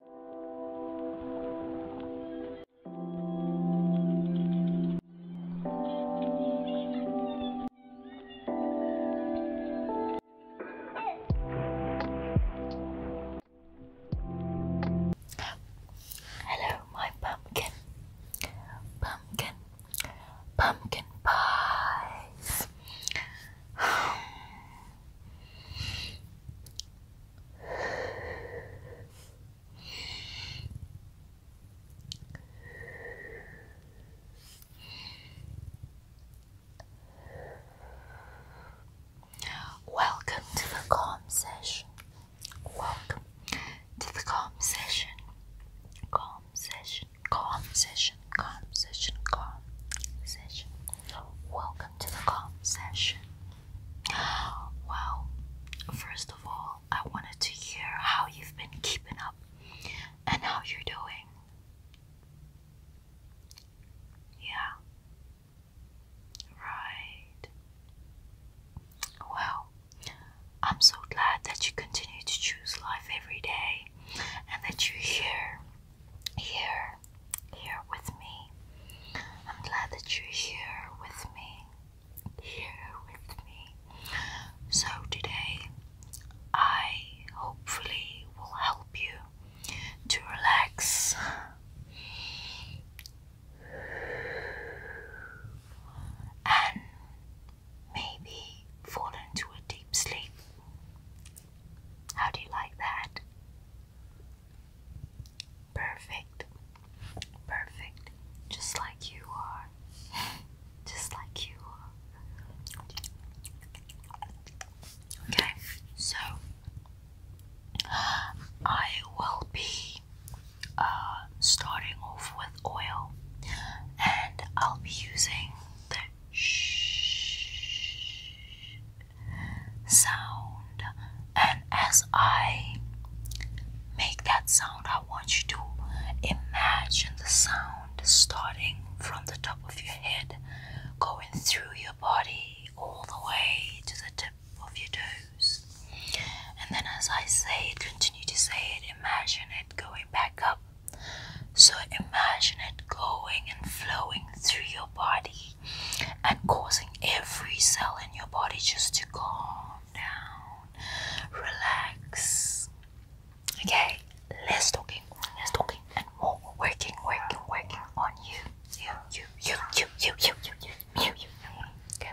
Hello, my pumpkin, pumpkin, pumpkin pies. Hmm. Welcome to the calm session. Welcome to the calm session. Calm session. Calm session. Calm session. Calm session. Welcome to the calm session. Well, first of all, I wanted to hear how you've been keeping up and how you're doing. Yeah. Right. Well, I'm so glad that you continue to choose life every day and that you're here here, here with me. I'm glad that you're here with me, here with me. So, today I hopefully will help you to relax. And maybe fall into a deep sleep. How do you like that? Perfect. Perfect. Just like you are. Just like you are. Okay, so I will be uh, starting off with oil and I'll be using the shh sound and as I make that sound I want you to imagine the sound starting from the top of your head going through your body all the way to the tip of your toes and then as I say it continue to say it imagine it going back up so imagine it going and flowing through your body and causing every cell in your body just to calm down, relax. Okay, less talking, less talking, and more working, working, working on you, you, you, you, you, you, you, you, you, you, you. Okay.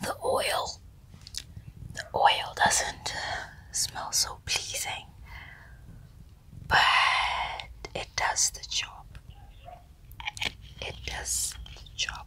The oil. The oil doesn't uh, smell so pleasing, but it does the job. It does the job.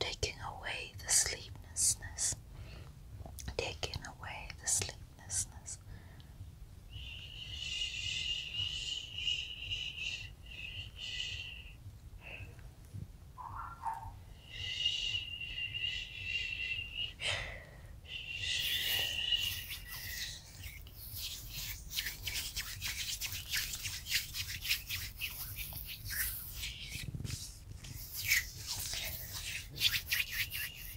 Taking away the sleeplessness, taking away the sleep business.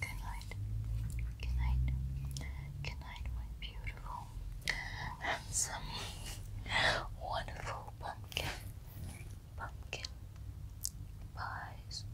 Good night. Good night. Good night, my beautiful, handsome, wonderful pumpkin. Pumpkin pies.